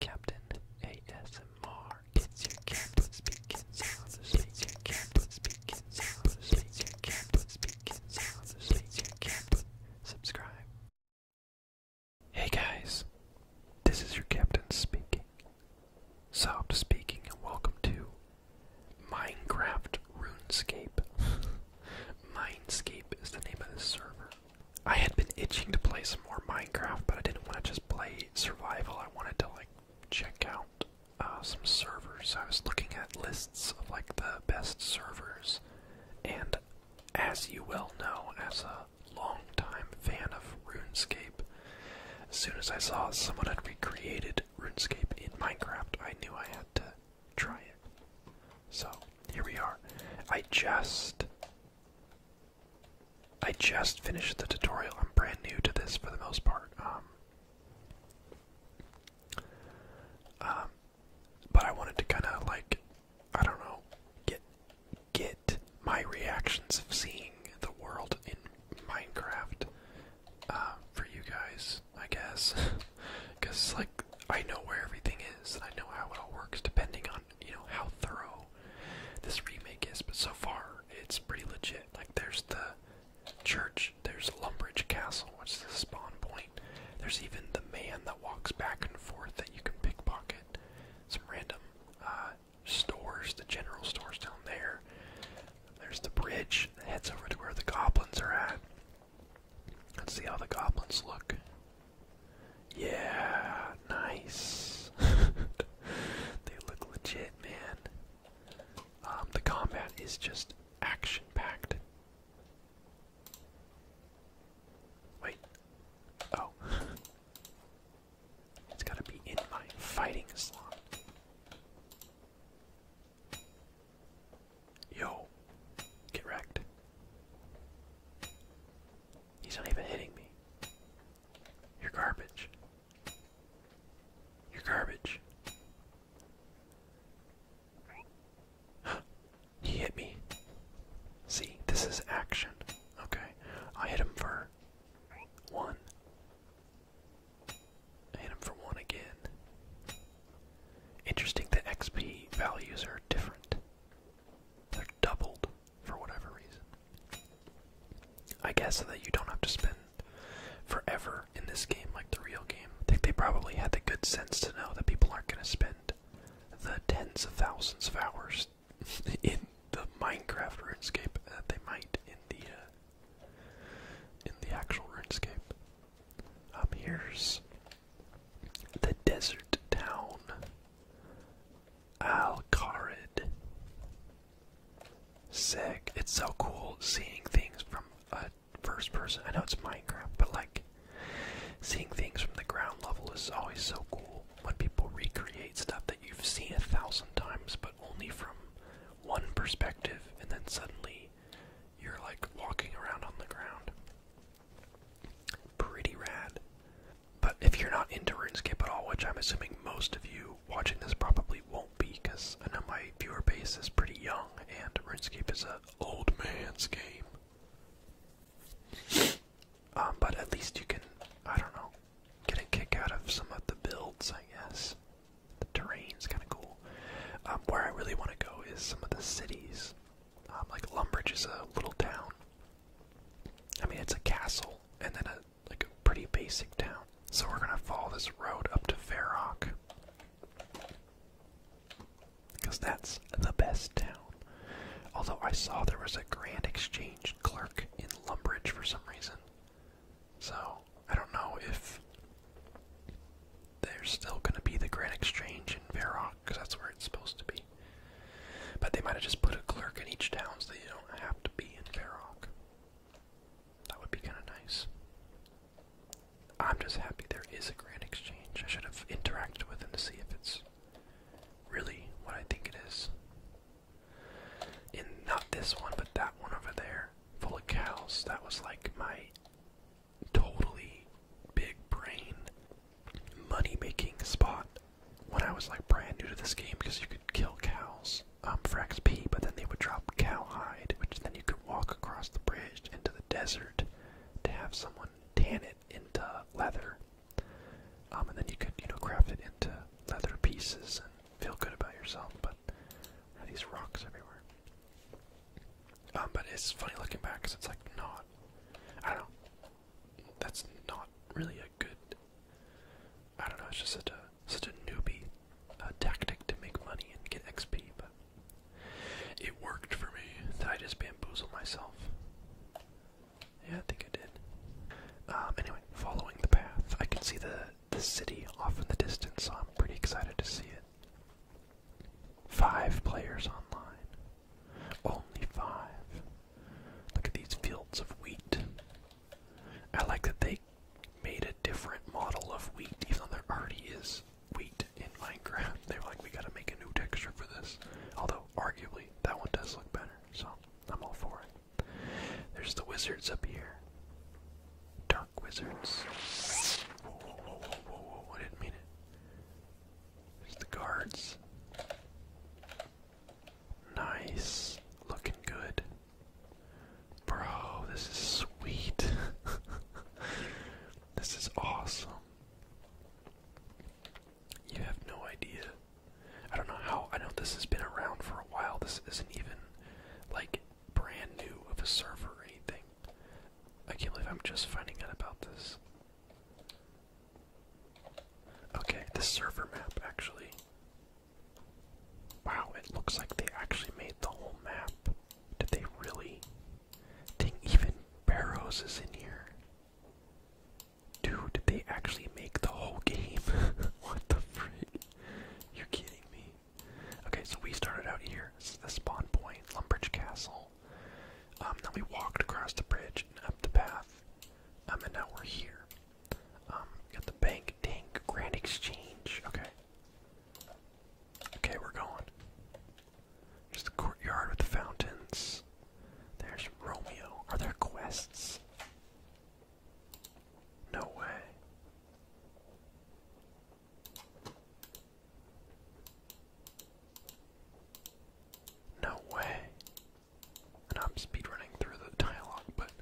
Captain ASMR. It's your captain speaking captain speaking captain speaking captain. Subscribe. Hey guys, this is your captain speaking. Soft speaking, and welcome to Minecraft RuneScape. Mindscape is the name of the server. I had been itching to play some more Minecraft, but I didn't want to just play survival. I wanted to like check out uh, some servers. I was looking at lists of like the best servers, and as you well know, as a long-time fan of RuneScape, as soon as I saw someone had recreated RuneScape in Minecraft, I knew I had to try it. So here we are. I just I just finished the tutorial. I'm brand new to this for the most part. Um, um but I wanted to kind of like, I don't know, get get my reactions of seeing the world in Minecraft uh, for you guys, I guess, because like I know where everything is and I know how it all works depending on you know how thorough this remake is, but so far it's pretty legit. Like there's the church, there's Lumbridge Castle, What's the spawn point. There's even the man that walks back and forth that you can pickpocket. Some random uh, stores, the general stores down there. There's the bridge that heads over to where the goblins are at. Let's see how the goblins look. Yeah, nice. they look legit, man. Um, the combat is just action packed. Wait. Oh. it's gotta be in my fighting slot. Yo, get wrecked. He's not even hitting me. You're garbage. You're garbage. he hit me. See, this is action. Okay. I hit him for one. I hit him for one again. Interesting The XP values are different. They're doubled for whatever reason. I guess so that you don't have to spend forever in this game like the real game. I think they probably had the good sense to know that people aren't going to spend the tens of thousands of hours in the Minecraft RuneScape that they might in the uh, in the actual RuneScape. Up um, here's the desert town Alcarid. Sick. It's so cool seeing things from a first person. I know it's Minecraft, but like seeing things from the ground level is always so cool when people recreate stuff that you've seen a thousand times, but only from one perspective, and then suddenly you're like walking around on the ground. Pretty rad. But if you're not into RuneScape at all, which I'm assuming most of you watching this probably won't be, because I know my viewer base is pretty young, and RuneScape is an old man's game. Um, but at least you can, I don't know, get a kick out of some of the builds, I guess. The terrain's kind of cool. Um, where I really want to go is some of the cities. Um, like Lumbridge is a little town I mean, it's a castle and then a like a pretty basic town. So we're gonna follow this road up to Fairrock because that's the best town. Although I saw there was a Grand Exchange clerk in Lumbridge for some reason, so I don't know if there's still gonna be the Grand Exchange in Fairrock because that's where it's supposed to be. But they might have just put a clerk in each town so that you don't have to be in Fairhawk. That would be kind of nice. I'm just happy there is a grand exchange. I should have interacted with them to see if it's really what I think it is. And not this one, but that one over there, full of cows. That was like my totally big brain money making spot when I was like brand new to this game because you could kill cows um, for XP, but then they would drop cowhide, which then you could walk across the bridge into the desert to have someone tan it into leather. Um, and then you could, you know, craft it into leather pieces and feel good about yourself, but these rocks everywhere. Um, but it's funny looking back because it's like not. I don't know that's not really a good. I don't know. It's just such a such a newbie uh, tactic to make money and get XP, but it worked for me. That I just bamboozled myself? Yeah, I think I did. Um, anyway, following the path, I can see the the city off in the distance. So I'm pretty excited to see it. Five players online. Only five. Look at these fields of wheat. I like that they made a different model of wheat, even though there already is wheat in Minecraft. They were like, we gotta make a new texture for this. Although, arguably, that one does look better, so I'm all for it. There's the wizards up here. Dark wizards. Whoa, whoa, whoa, whoa, I didn't mean it. There's the guards. Nice. Looking good. Bro, this is sweet. this is awesome. You have no idea. I don't know how. I know this has been around for a while. This isn't even like brand new of a server or anything. I can't believe I'm just finding out about this. Okay, this server map actually. Wow, it looks like they actually made the whole map. Did they really? Dang, even Barrows is in here. Dude, did they actually make the whole game? what the freak? You're kidding me. Okay, so we started out here. This is the spawn point, Lumbridge Castle. Um, then we walked across the bridge and up the path, um, and now we're here. Um, got the bank, tank, Grand Exchange. Okay. Okay, we're going. There's the courtyard with the fountains. There's Romeo. Are there quests? No way. No way. And I'm speedrunning through the dialogue, but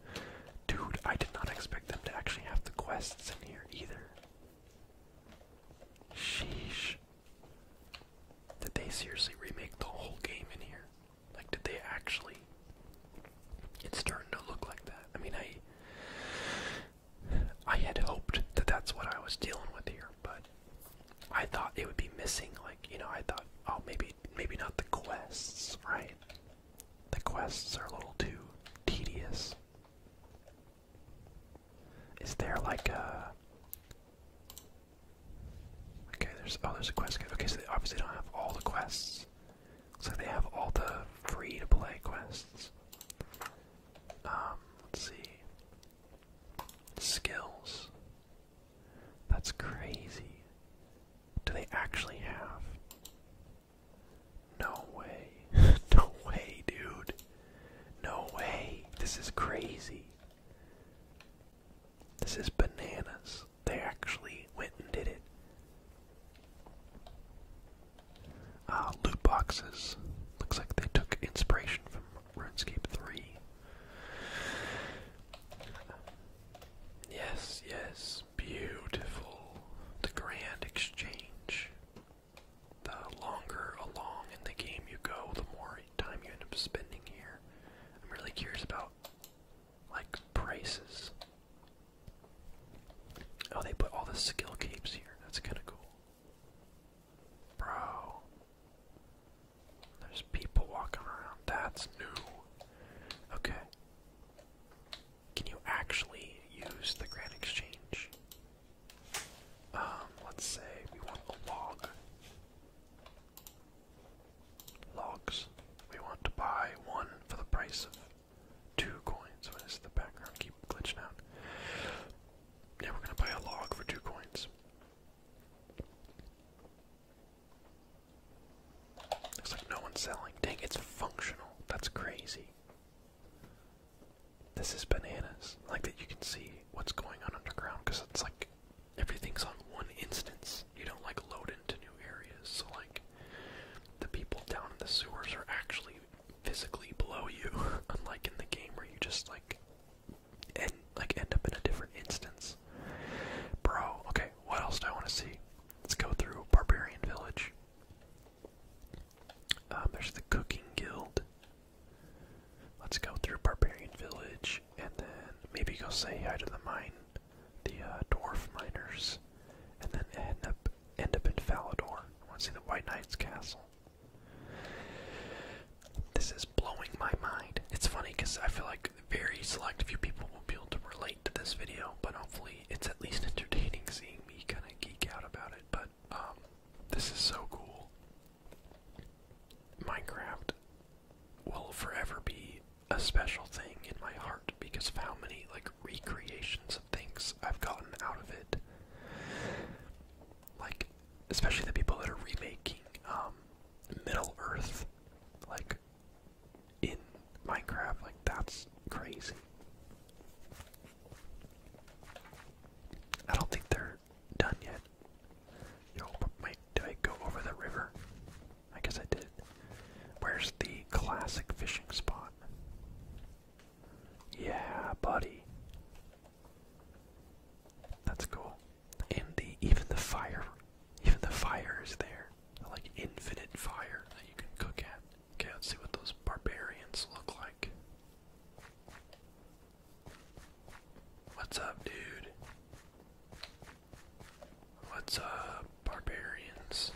dude, I did not expect them to actually have the quests in here either. Sheesh. Did they seriously remake the whole game in here? Like, did they actually? It's starting to look like that. I mean, I. I had hoped that that's what I was dealing with here, but I thought it would be missing, like, you know, I thought, oh, maybe, maybe not the quests, right? The quests are a little too tedious. Is there like a. Okay, there's. Oh, there's a quest Okay, so they obviously don't have all the quests. Looks like they have all the free to play quests. Um, let's see. Skills. That's crazy. Do they actually have? No way. no way, dude. No way. This is crazy. This is bananas. They actually went and did it. Uh, loot boxes. Looks like they took inspiration from RuneScape 3. Yes, yes, beautiful. The Grand Exchange. The longer along in the game you go, the more time you end up spending here. I'm really curious about, like, prices. Oh, they put all the skill capes here. That's kind of cool. Bro. There's people walking around. That's new. Okay. Can you actually use the Grand Exchange? Um, let's say we want a log. Logs. We want to buy one for the price of two coins. What is the background keep glitching out? Yeah, we're gonna buy a log for two coins. Looks like no one's selling. Dang, it's functional. That's crazy. This is bananas. Like that you can see what's going on underground because it's like everything's on one instance. You don't like load into new areas. So like the people down in the sewers are actually physically below you, unlike in the game where you just like and like end up in a different instance. Bro, okay, what else do I want to see? Let's go through Barbarian Village. Um, there's the Cooking Guild. Let's go through Barbarian Village and then maybe go say hi to the mine, the uh, dwarf miners, and then end up end up in Falador. I want to see the White Knight's Castle. This is blowing my mind. It's funny because I feel like very select few people will be able to relate to this video, but hopefully it's at least entertaining seeing me kind of geek out about it. But um, this is so cool. Minecraft will forever be a special thing in my heart because of how many like recreations of things I've gotten out of it. Like, especially the people that are remaking um, Middle Earth, like in Minecraft, like that's crazy. I don't think they're done yet. Yo, but did I go over the river? I guess I did. Where's the classic fishing spot? Yeah, buddy. That's cool. And even the fire even the fire is there. Like infinite fire that you can cook at. Okay, let's see what those barbarians look like. What's up, dude? What's up, barbarians?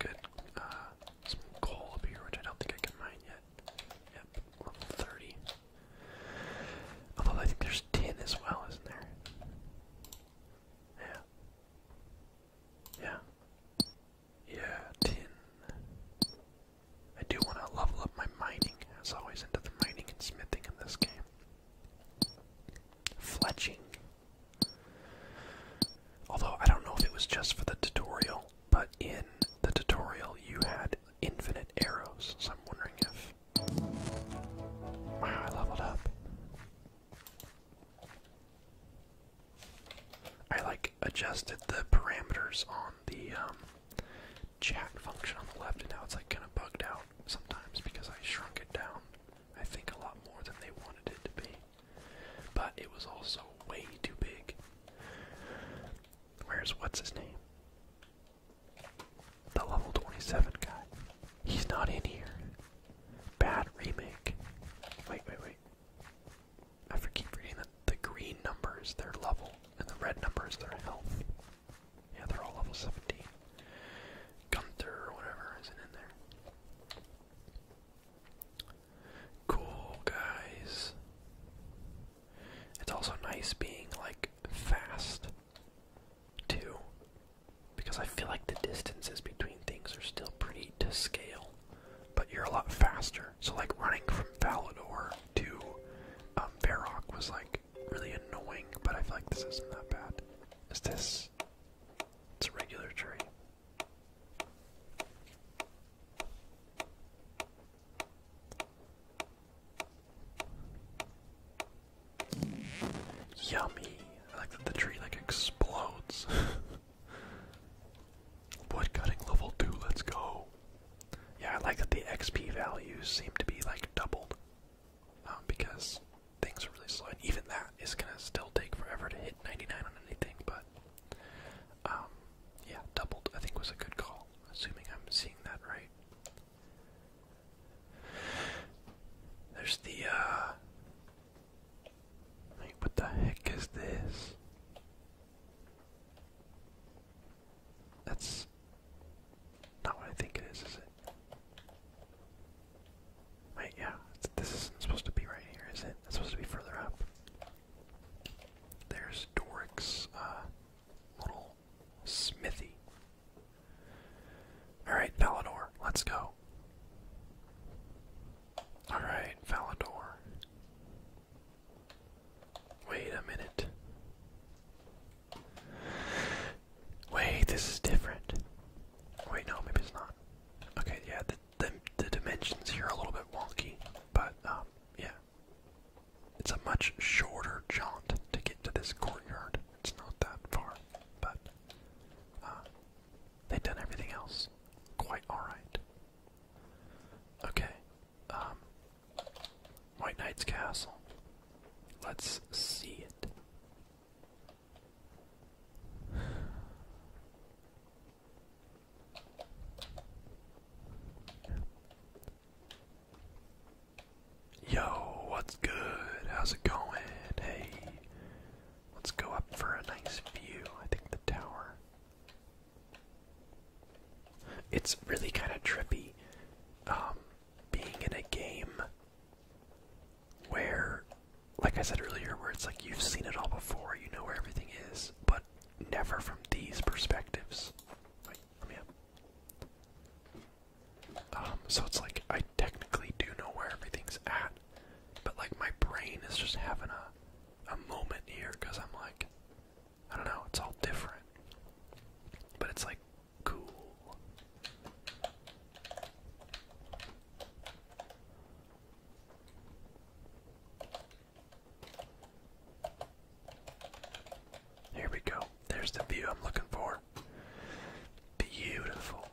Good, uh, some coal up here, which I don't think I can mine yet. Yep, level 30. Although I think there's tin as well, isn't there? Yeah. Yeah. Yeah, tin. I do want to level up my mining, as always, into the mining and smithing in this game. Fletching. Although I don't know if it was just for the tutorial, but in the tutorial you had infinite arrows, so I'm wondering if. Wow, I leveled up. I like adjusted the parameters on the um, chat function on the left, and now it's like kind of bugged out sometimes because I shrunk it down, I think, a lot more than they wanted it to be. But it was also way too big. Where's what's his name? The level 27 guy. He's not in here. Bad remake. Wait, wait, wait. I keep reading that the green number is their level and the red number is their health. Yeah, they're all level 17. Gunther or whatever isn't in there. Cool, guys. It's also nice being like fast too because I feel like the distances between things are still pretty to scale, but you're a lot faster. So like running from Valador to um Varrock was like really annoying, but I feel like this isn't that bad. Is this it's a regular tree. Yummy! I like that the tree like explodes. Wood cutting level two, let's go. Yeah, I like that the XP values seem to be like doubled. Um, because things are really slow, and even that is gonna still take forever to hit 99 on anything, but um, yeah, doubled I think was a good call, assuming I'm seeing that right. There's the, uh. Like, what the heck is this? That's not what I think it is, is it? Wait, yeah, this isn't supposed to be right here, is it? It's supposed to be further up. There's Doric's, uh, little smithy. Alright, Valinor, let's go. Alright, Valinor. Wait a minute. Wait, this is different. Wait, no, maybe it's not. Okay, yeah, the, the, the dimensions here are a little bit wonky, but, um, yeah. It's a much shorter jaunt to get to this courtyard. It's not that far, but uh, they've done everything else quite alright. Okay, um, White Knight's Castle. Let's see it. Yo, what's good? How's it going? Hey, let's go up for a nice view. I think the tower. It's really kind of trippy um, being in a game where, like I said earlier, where it's like you've seen it all before, you know where everything is, but never from these perspectives. Um, so it's like I technically do know where everything's at, but like my brain is just having a a moment here because I'm like, I don't know, it's all different, but it's like cool. Here we go. There's the view I'm looking for. Beautiful.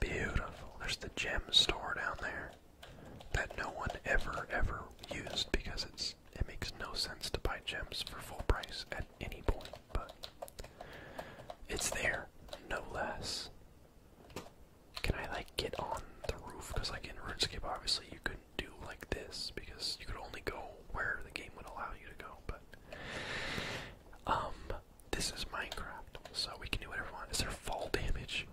Beautiful. There's the gem store down there that no one ever, ever used because it's it makes no sense to buy gems for full price at any point, but it's there, no less. Can I like get on the roof? Because like in RuneScape, obviously you could do like this because you could only go where the game would allow you to go. But um, this is Minecraft, so we can do whatever we want. Is there fall damage?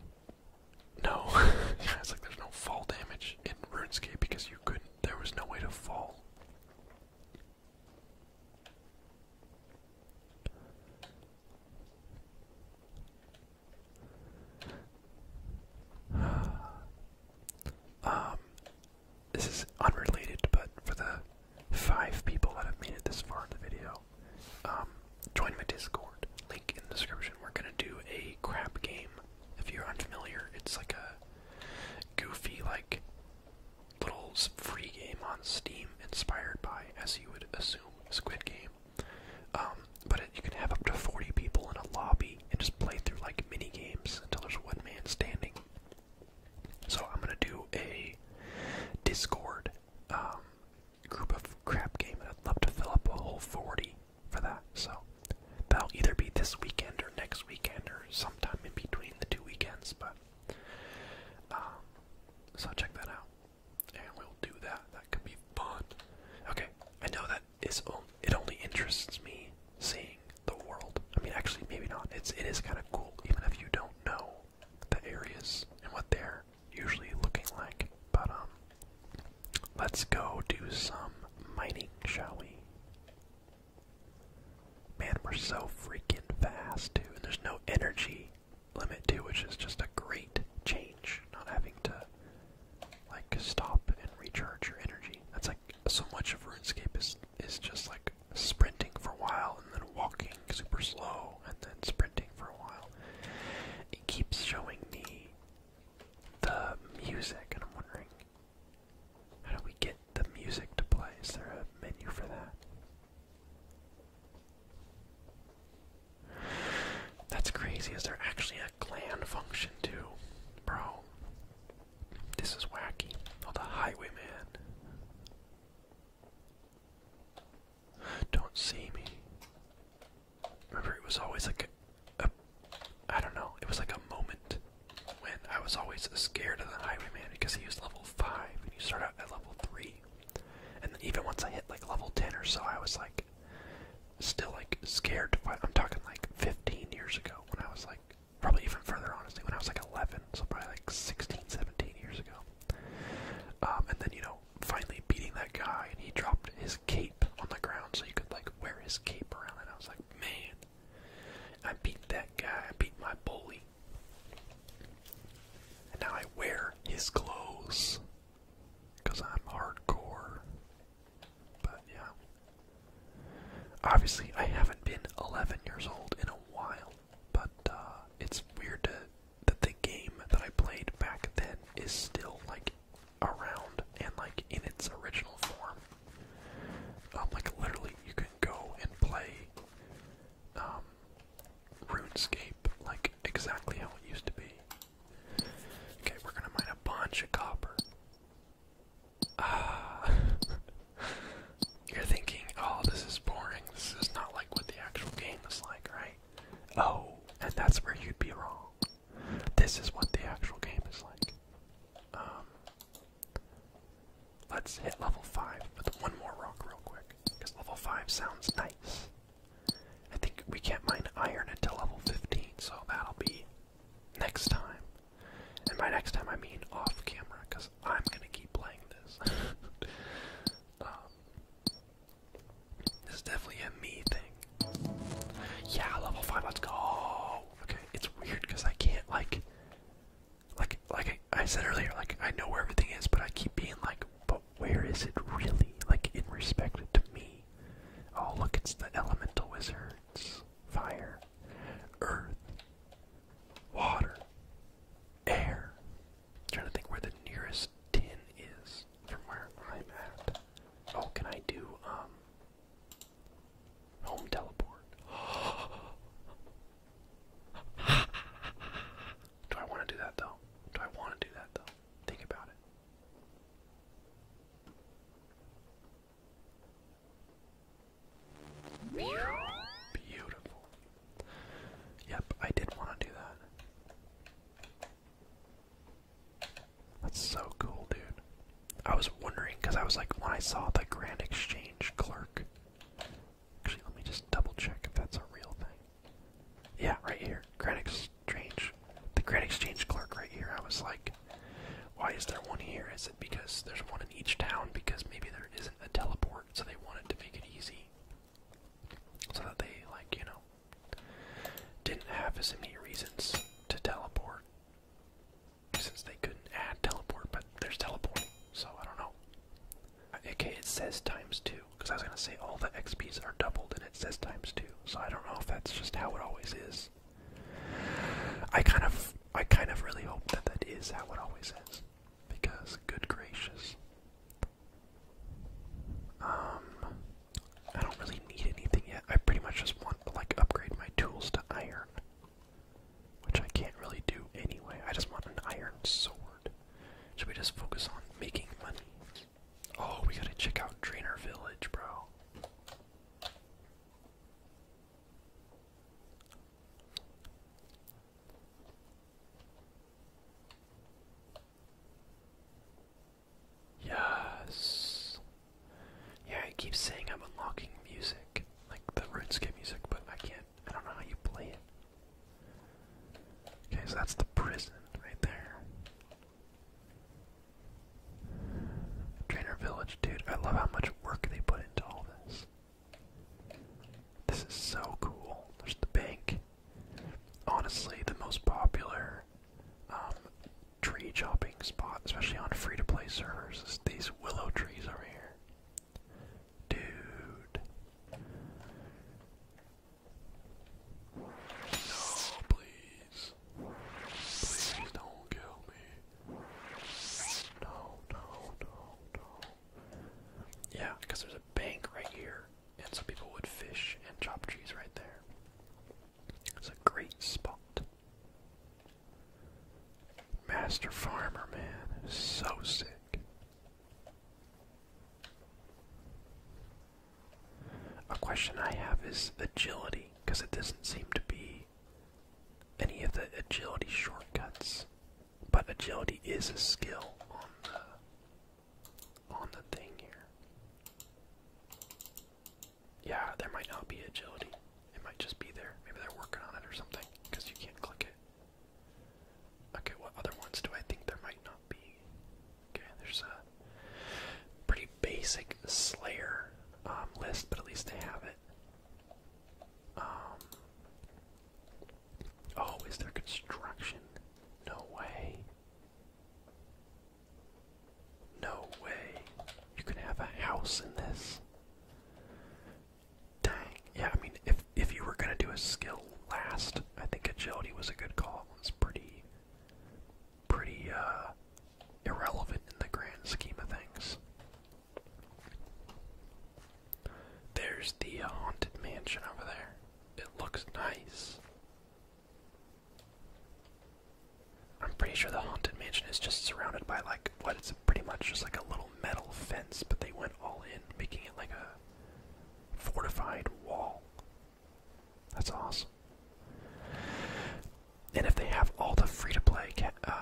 No, it's like there's no fall damage in RuneScape because you couldn't. There was no way to fall. um, this is unrelated, but for the five people that have made it this far in the video, um, join my Discord. Link in the description. We're gonna do a crap game. If you're unfamiliar, it's like a goofy, like little free game on Steam, inspired by, as you would assume, Squid Game. Um, but you can have up to 40 people in a lobby and just play through like mini games until there's one man standing. So I'm gonna do a Discord um, group of crap game, and I'd love to fill up a whole 40 for that. So that'll either be this weekend or next weekend or sometime in between the two weekends. But um, so check that out, and we'll do that. That could be fun. Okay, I know that it only interests me seeing the world. I mean, actually, maybe not. It's it is kind of cool, even if you don't know the areas and what they're usually looking like. But um, let's go do some mining, shall we? Man, we're so freaking fast, too, there's no energy limit too, which is just a great change. Not having to like stop and recharge your energy. That's like so much of RuneScape is is just like sprinting for a while and then walking super slow and then sprinting for a while. It keeps showing me the music and I'm wondering how do we get the music to play? Is there a menu for that? That's crazy. Is there actually a clan function too, bro. This is wacky. Oh, the highwayman. Don't see me. Remember, it was always like a, a. I don't know, it was like a moment when I was always scared of the highwayman because he was level 5 and you start out at level 3. And even once I hit like level 10 or so, I was like, still like scared to fight. I'm talking like 15 years ago when I was like, probably even further honestly, when I was like 11, so probably like 16, 17 years ago. Um, and then, you know, finally beating that guy and he dropped his cape on the ground so you could like wear his cape around and I was like, man, I beat that guy, I beat my bully. And now I wear his clothes because I'm hardcore. But yeah. Obviously, I haven't been 11 years old in a while, but uh, it's weird that the game that I played back then is still like around and like in its original form. I'm um, like literally, you can go and play um, RuneScape like exactly how it used to be. Okay, we're gonna mine a bunch of copper. Uh, you're thinking, oh, this is boring. This is not like what the actual game is like, right? Oh, and that's where you'd be wrong. This is what the actual game is like. Um, let's hit level 5 with one more rock real quick, because level 5 sounds nice. I think we can't mine iron until level 15, so that'll be next time. And by next time I mean off camera, because I'm gonna keep playing this. Um, this is definitely a me thing. Yeah, level five. Let's go. Okay, it's weird because I can't like, like, like I said earlier. Like I know where everything is, but I keep being like, but where is it really? Like in respect to me. Oh look, it's the elemental wizard fire, earth, water, air. I'm trying to think where the nearest tin is from where I'm at. Oh, can I do um home teleport? do I want to do that though? Do I want to do that though? Think about it. Beautiful. Yep, I did want to do that. That's so cool, dude. I was wondering because I was like, when I saw the Grand Exchange clerk. Actually, let me just double check if that's a real thing. Yeah, right here. Grand Ex strange. The credit exchange clerk right here, I was like, why is there one here? Is it because there's one in each town? Because maybe there isn't a teleport, so they wanted to make it easy. So that they, like, you know, didn't have as many reasons to teleport. Since they couldn't add teleport, but there's teleport, so I don't know. Okay, it says times two, because I was going to say all the XPs are doubled and it says times two, so I don't know if that's just how it always is. I kind of, I kind of really hope that that is how it always is, because good gracious, um, I don't really need anything yet. I pretty much just want like upgrade my tools to iron, which I can't really do anyway. I just want an iron sword. Should we just focus on making money? Oh, we gotta check out Drainer Village, bro. Yes. Yeah, I keep saying I'm unlocking music, like the RuneScape music, but I can't. I don't know how you play it. Okay, so that's the prison right there. Trainer Village, dude. I love how much work they put into all this. This is so cool. There's the bank. Honestly, the most popular um, tree chopping spot, especially on free to play servers, is these willow trees over here. Dude. No, please please. don't kill me. No, no, no, no. Yeah, because there's a bank right here, and some people would fish and chop trees right there. It's a great spot. Master Farmer, man, so sick. A question I have is agility, because it doesn't seem to be any of the agility shortcuts. But agility is a skill on the on the thing here. Yeah, there might not be agility. It might just be there. Maybe they're working on it or something, because you can't click it. Okay, what other ones do I think there might not be? Okay, there's a pretty basic Slayer um, list, but at least they have it. Um, oh, is there construction? No way. No way. You can have a house in this. Dang. Yeah, I mean, if if you were gonna do a skill last, I think agility was a good call. It's pretty pretty uh, irrelevant in the grand scheme of things. There's the haunted mansion over there. It looks nice. I'm pretty sure the haunted mansion is just surrounded by like what it's pretty much just like a little metal fence, but they went all in, making it like a fortified wall. That's awesome. And if they have all the free-to-play uh,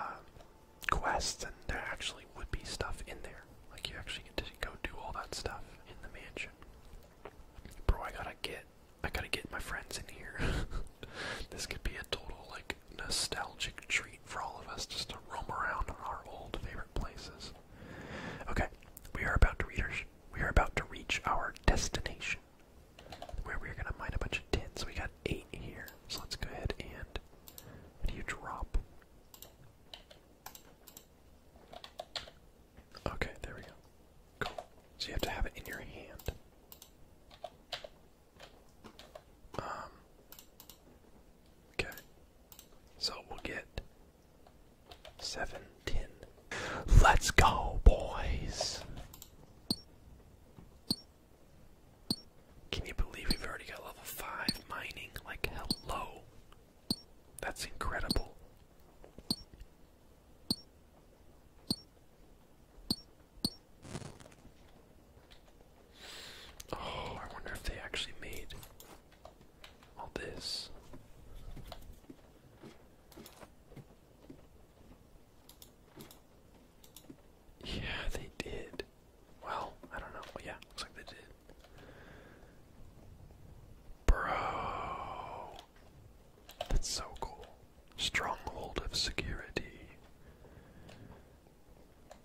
quests and they're actually would be stuff in there. Like you actually get to go do all that stuff in the mansion. Bro, I gotta get, I gotta get my friends in here. this could be a total like nostalgic treat for all of us, just to roam around our old favorite places. Okay, we are about to reach. We are about to reach our destination where we're gonna mine a bunch of tin. So we got eight here. So let's go ahead and what do you drop? Okay, there we go. Cool. So you have to have it in your hand. Um. Okay. So we'll get seven Let's go, boys. Can you believe we've already got level 5 mining? Like, hello. That's incredible. Oh, I wonder if they actually made all this. Yeah, they did. Well, I don't know. yeah, looks like they did. Bro. That's so cool. Stronghold of Security.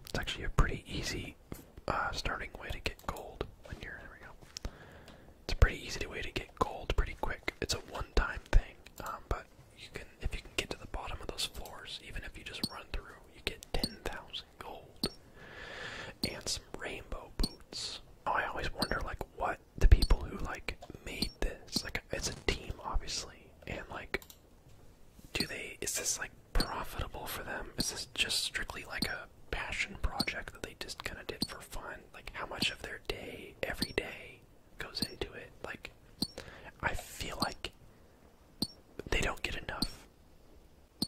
It's actually a pretty easy uh, starting way to get gold when you're. There we go. It's a pretty easy way to get gold pretty quick. It's a one-time thing, um, but you can if you can get to the bottom of those floors, even if you just run through, you get ten thousand gold and some rainbow boots. Oh, I always wonder like what the people who like made this like it's a team obviously, and like do they is this like profitable for them? Is this just strictly like a passion project that they just kind of did for fun? Like how much of their day every day goes into it. Like, I feel like they don't get enough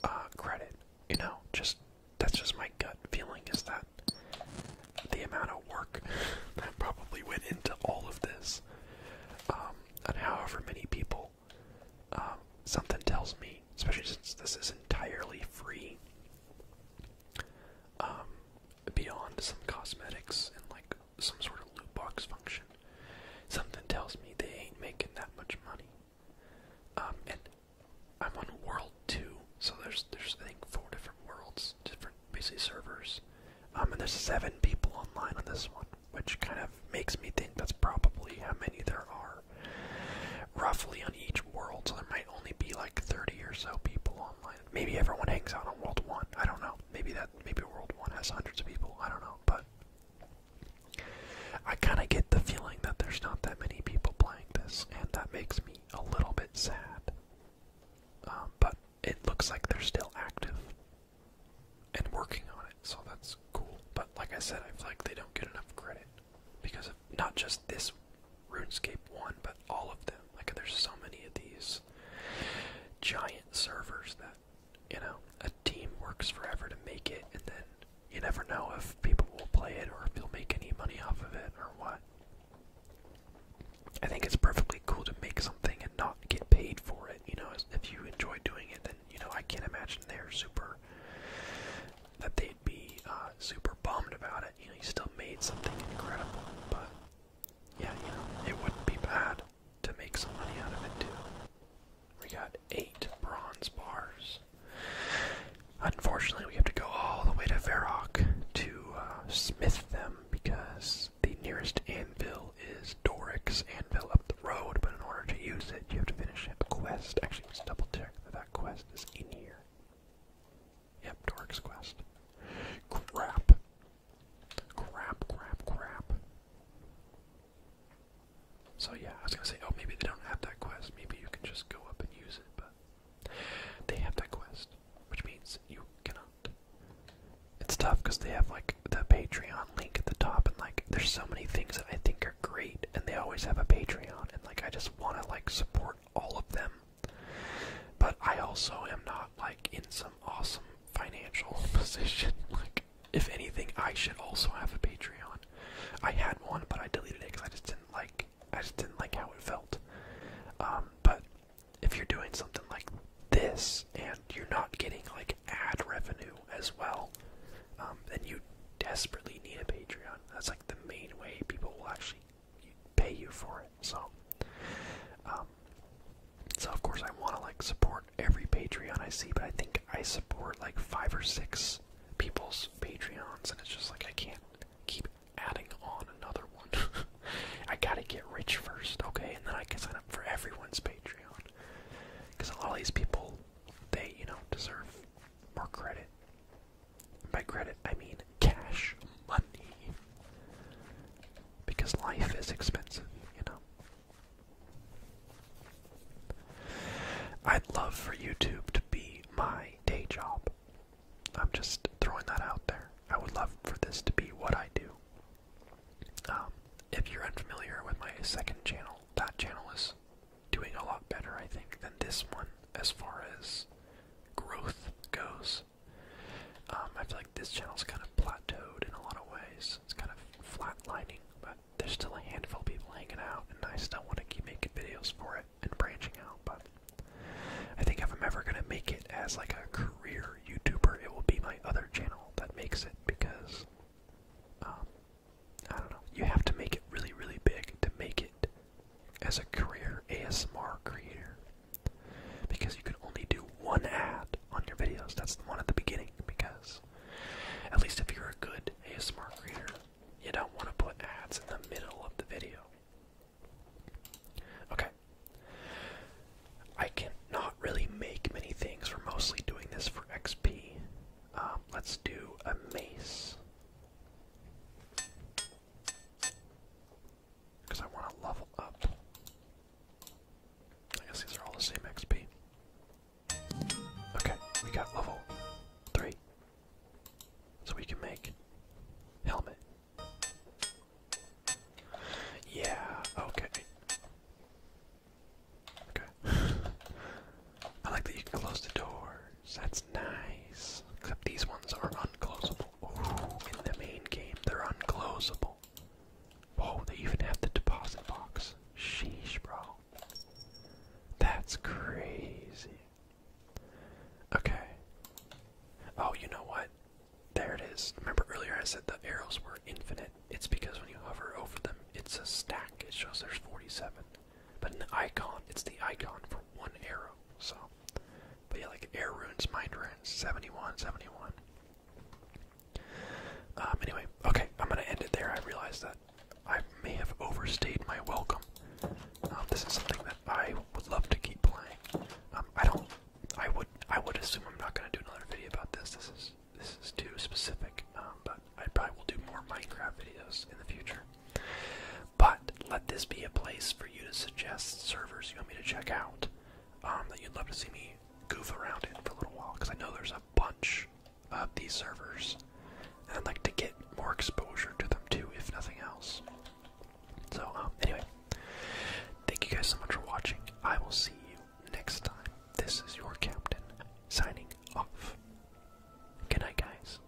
uh, credit. You know, just that's just my gut feeling is that the amount of work that probably went into all of this, um, and however many people, um, something tells me, especially since this is entirely free. Um, beyond some cosmetics and like some sort of loot box function. Something tells me they ain't making that much money. Um, and I'm on World Two, so there's there's I think four different worlds, different basically servers. Um, and there's seven people online on this one, which kind of makes me think that's probably how many there are roughly on each world, so there might only be like 30 or so people Maybe everyone hangs out on World One. I don't know. Maybe that maybe World One has hundreds of people. I don't know, but I kind of get the feeling that there's not that many people playing this, and that makes me a little bit sad. Um, but it looks like they're still active and working on it, so that's cool. But like I said, I feel like they don't get enough credit because of not just this RuneScape 1, but all of them. Like, there's so many of these giant servers that, you know, a team works forever to make it, and then you never know if people will play it or if they'll make any money off of it or what. I think it's perfectly cool to make something and not get paid for it. You know, if you enjoy doing it, then, you know, I can't imagine they're super. That they'd be uh, super bummed about you know, you still made something incredible, but yeah, you know, it wouldn't be bad to make some money out of it too. We got eight bronze bars. Unfortunately, we have to go all the way to Varrock to uh, smith them because the nearest anvil is Doric's anvil up the road. But in order to use it, you have to finish a quest. Actually, let's double check that that quest is in here. Yep, Dork's quest. Crap. Crap, crap, crap. So yeah, I was gonna say, oh, maybe they don't have that quest. Maybe you can just go up and use it, but they have that quest, which means you cannot. It's tough because they have like the Patreon link at the top, and like there's so many things that I think are great, and they always have a Patreon, and like I just want to like support all of them. But I also am not like in some awesome financial position. Like, if anything, I should also have a Patreon. I had one, but I deleted it because I just didn't like. I just didn't like how it felt. Um, but if you're doing something like this and you're not getting like ad revenue as well, um, then you desperately need a Patreon. That's like the main way people will actually pay you for it. So, um, so of course I want to like support every Patreon I see, but I think I support like five or six people's Patreons, and it's just like I can't keep adding on another one. I gotta get rich first, okay, and then I can sign up for everyone's Patreon. Because a lot of these people, they you know deserve more credit by credit, I mean cash money. Because life is expensive, you know. I'd love for YouTube to be my day job. I'm just throwing that out there. I would love for this to be what I do. Um, if you're unfamiliar with my second channel, that channel is doing a lot better, I think, than this one as far as growth goes. Um, I feel like this channel is kind of plateaued in a lot of ways. It's kind of flatlining, but there's still a handful of people hanging out, and I still want to keep making videos for it and branching out. But I think if I'm ever gonna make it as like a career YouTuber, it will be my other channel that makes it because um, I don't know. You have to make it really, really big to make it as a career ASMR creator because you can only do one ad on your videos. That's the one at the beginning because at least if you're a good ASMR creator, you don't want to put ads in the middle of the video. Okay. I cannot really make many things. We're mostly doing this for XP. Um, let's do a maze. Because I want to level up. I guess these are all the same XP. Okay, we got level 3. So we can make helmet. Yeah, okay. Okay. I like that you can close the doors. That's nice. Except these ones are unclosable. Ooh, in the main game, they're unclosable. Whoa, oh, they even have the deposit box. Sheesh, bro. That's crazy. Okay. Oh, you know what? There it is. Remember earlier I said the arrows were infinite? It's because when you hover over them, it's a stack. It shows there's 47. But in the icon, it's the icon for one arrow. So but yeah, like air runes, mind runes, 71, 71. Um, anyway, okay, I'm gonna end it there. I realize that I may have overstayed my welcome. Um, this is something that I would love to keep playing. Um, I don't, I would, I would assume I'm not gonna do another video about this. This is, this is too specific. but I probably will do more Minecraft videos in the future. But let this be a place for you to suggest servers you want me to check out um, that you'd love to see me goof around in for a little while, because I know there's a bunch of these servers, and I'd like to get more exposure to them too, if nothing else. So, um, anyway, thank you guys so much for watching. I will see you next time. This is your captain signing off. Good night, guys.